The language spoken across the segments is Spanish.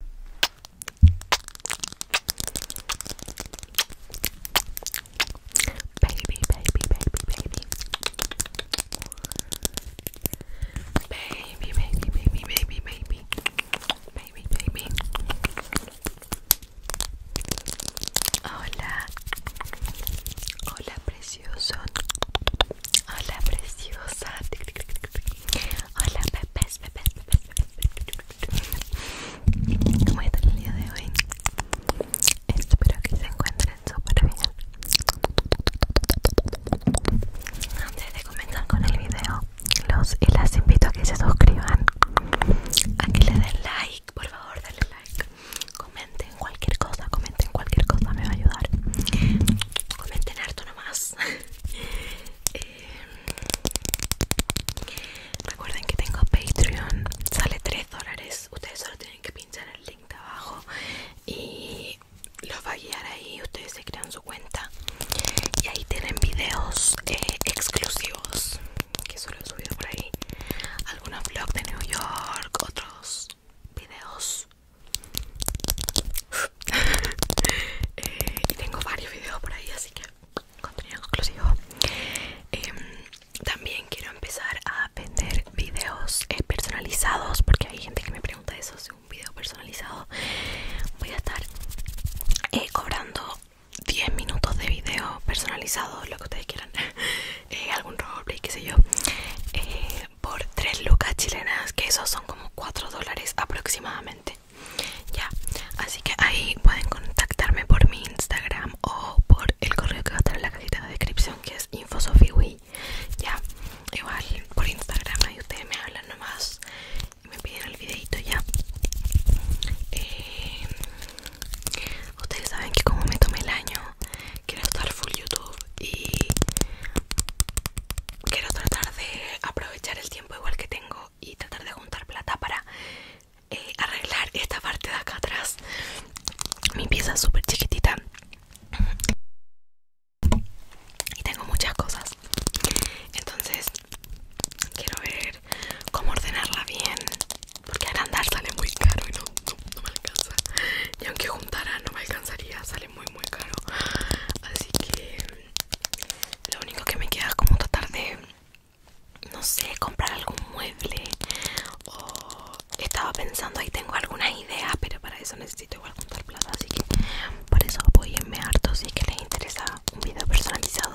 Baby, baby, baby, baby. Baby, baby, baby, baby, baby. Baby, baby. Hola. Hola, precioso. Hola, preciosa. Hola bebés, pepes, pepes, pepes ¿Cómo están el día de hoy? Espero que se encuentren súper bien. Antes de comenzar con el video, los y las invito a que se suscriban, a que le den like, por favor, denle like. Comenten cualquier cosa, comenten cualquier cosa, me va a ayudar. Comenten harto nomás. Eh, recuerden que tengo Patreon, sale 3 dólares. Ustedes solo tienen que pinchar el link de abajo y los va a guiar ahí. Ustedes se crean su cuenta y ahí tienen videos eh, exclusivos que solo he subido por ahí. Algunos vlogs de New York, otros videos eh, y tengo varios videos por ahí, así que contenido exclusivo. Em, también quiero empezar a vender videos personalizados, porque hay gente que me pregunta eso, es un video personalizado. Voy a estar eh, cobrando 10 minutos de video personalizado, lo que ustedes quieran, eh, algún roleplay, qué sé yo por 3 lucas chilenas que esos son como 4 dólares aproximadamente ya así que ahí pueden contactarme por mi instagram o por el correo que va a estar en la cajita de descripción que es infosofiwi ya igual por instagram ahí ustedes me hablan nomás y me piden el videito ya eh, ustedes saben que como me tomé el año quiero estar full YouTube y quiero tratar de aprovechar el tiempo igual que tengo y tratar de juntar plata para eh, arreglar esta parte de acá atrás. Mi pieza es súper chiquitita y tengo muchas cosas. Entonces quiero ver cómo ordenarla bien porque andar sale muy caro y no, me alcanza. Y aunque juntara no me alcanzaría, muy muy caro así que lo único que me queda es como tratar de no sé comprar algún mueble o estaba pensando ahí tengo algunas ideas pero para eso necesito igual de plata así que por eso voy apoyenme harto si que les interesa un video personalizado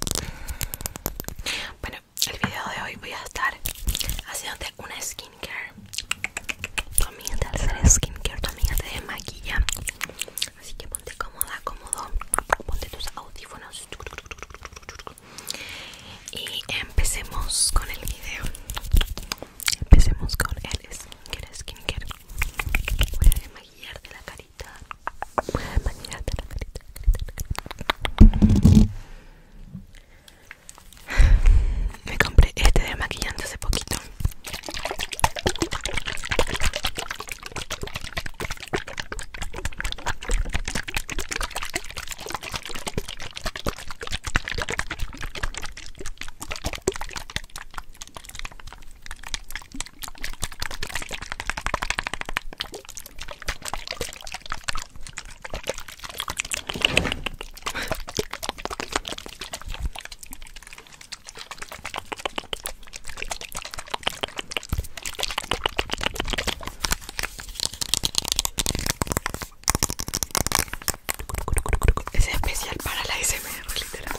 bueno el video de hoy voy a estar haciéndote una skin skincare. Tu amiga te hace skincare, tu amiga te desmaquilla. Así que ponte cómoda, cómodo. Ponte tus audífonos. Y empecemos con el video. Empecemos con el skincare, skincare. Voy a desmaquillarte la carita. Voy a la carita. La carita, la carita. Me compré este de maquillando hace poquito. Es especial para la SMR, literal.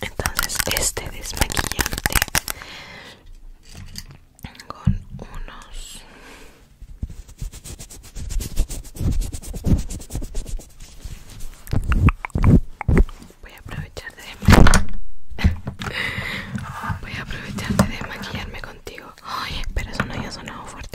Entonces este desmaquillante con unos voy a aprovechar de voy de desmaquillarme contigo ay espera eso no haya sonado fuerte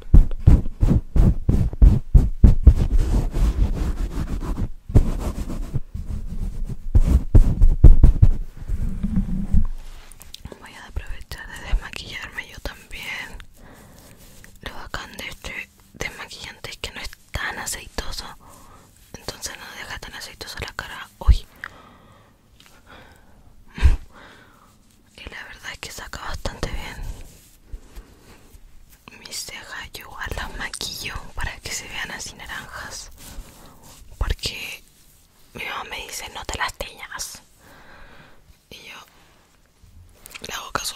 Voy a aprovechar de desmaquillarme yo también. Lo bacán de este desmaquillante es que no es tan aceitoso. Entonces no deja tan aceitoso la cara hoy y la verdad es que saca bastante bien mis cejas yo igual las maquillo para que se vean así naranjas porque mi mamá me dice no te las teñas y yo le hago caso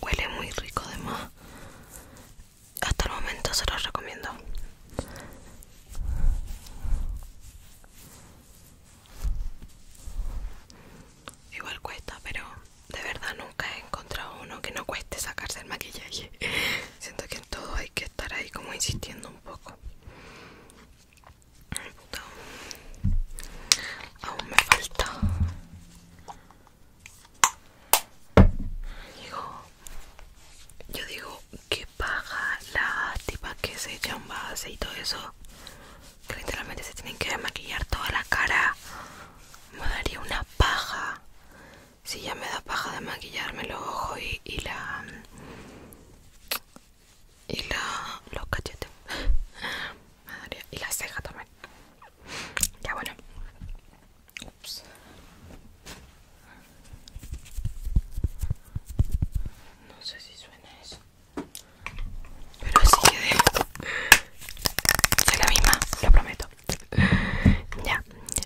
Huele muy rico además. Hasta el momento se los recomiendo. Igual cuesta, pero de verdad nunca he encontrado uno que no cueste sacarse el maquillaje. Siento que en todo hay que estar ahí como insistiendo un poco. Aún me falta. Digo, yo digo que paja la tipa que se echan base y todo eso. literalmente se tienen que maquillar toda la cara. Me daría una paja. Si ya me da paja de maquillarme los ojos y la y la, los cachetes y la ceja también ya bueno Ups. no sé si suena eso pero sigue que... Es la misma lo prometo ya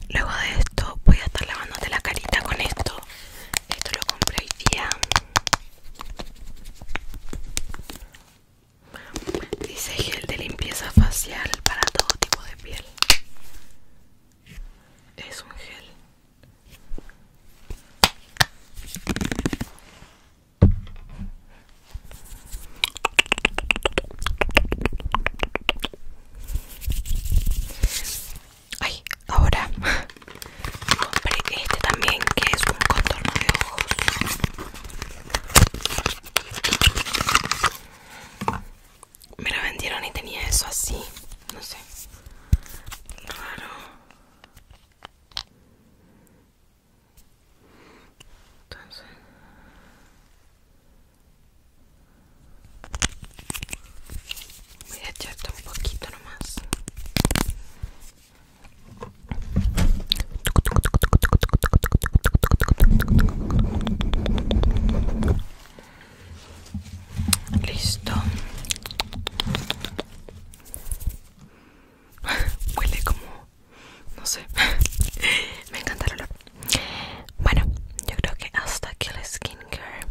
luego de esto voy a estar lavándote la carita con esto esto lo compré hoy día. Dice gel de limpieza facial para todo tipo de piel. Es un gel. Ay, ahora compré este también que es un contorno de ojos. Me lo vendieron y tenía eso así, no sé. Raro. Entonces Voy a echarte un poquito nomás. Listo. Huele como... no sé. Me encanta el olor. Bueno, yo creo que hasta aquí el skincare.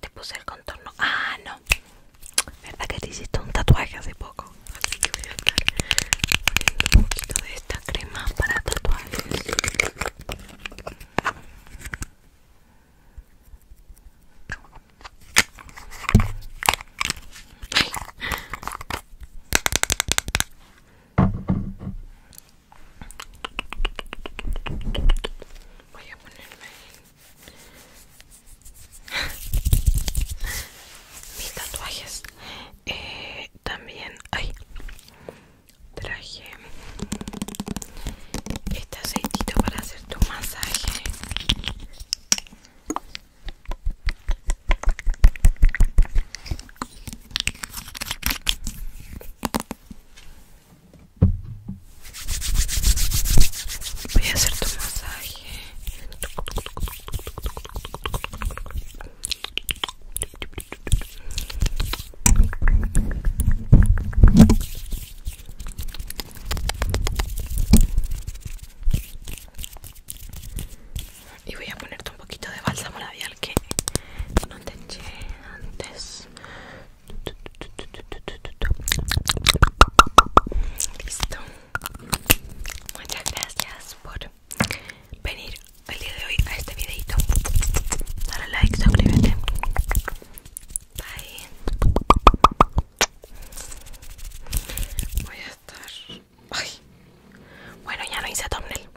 Te puse el contorno. Ah, no. ¿Verdad que te hiciste un tatuaje hace poco? Así que voy a estar poniendo un poquito de esta crema para tatuajes. Voy a ponerme mis tatuajes eh, también hay traje este aceitito para hacer tu masaje Voy a hacer tu masaje. Y voy a ponerte un poquito de bálsamo labial que no te eché antes Listo. Muchas gracias por venir el día de hoy a este videito. Dale like, suscríbete. Bye. Voy a estar. Ay. Bueno, ya no hice thumbnail.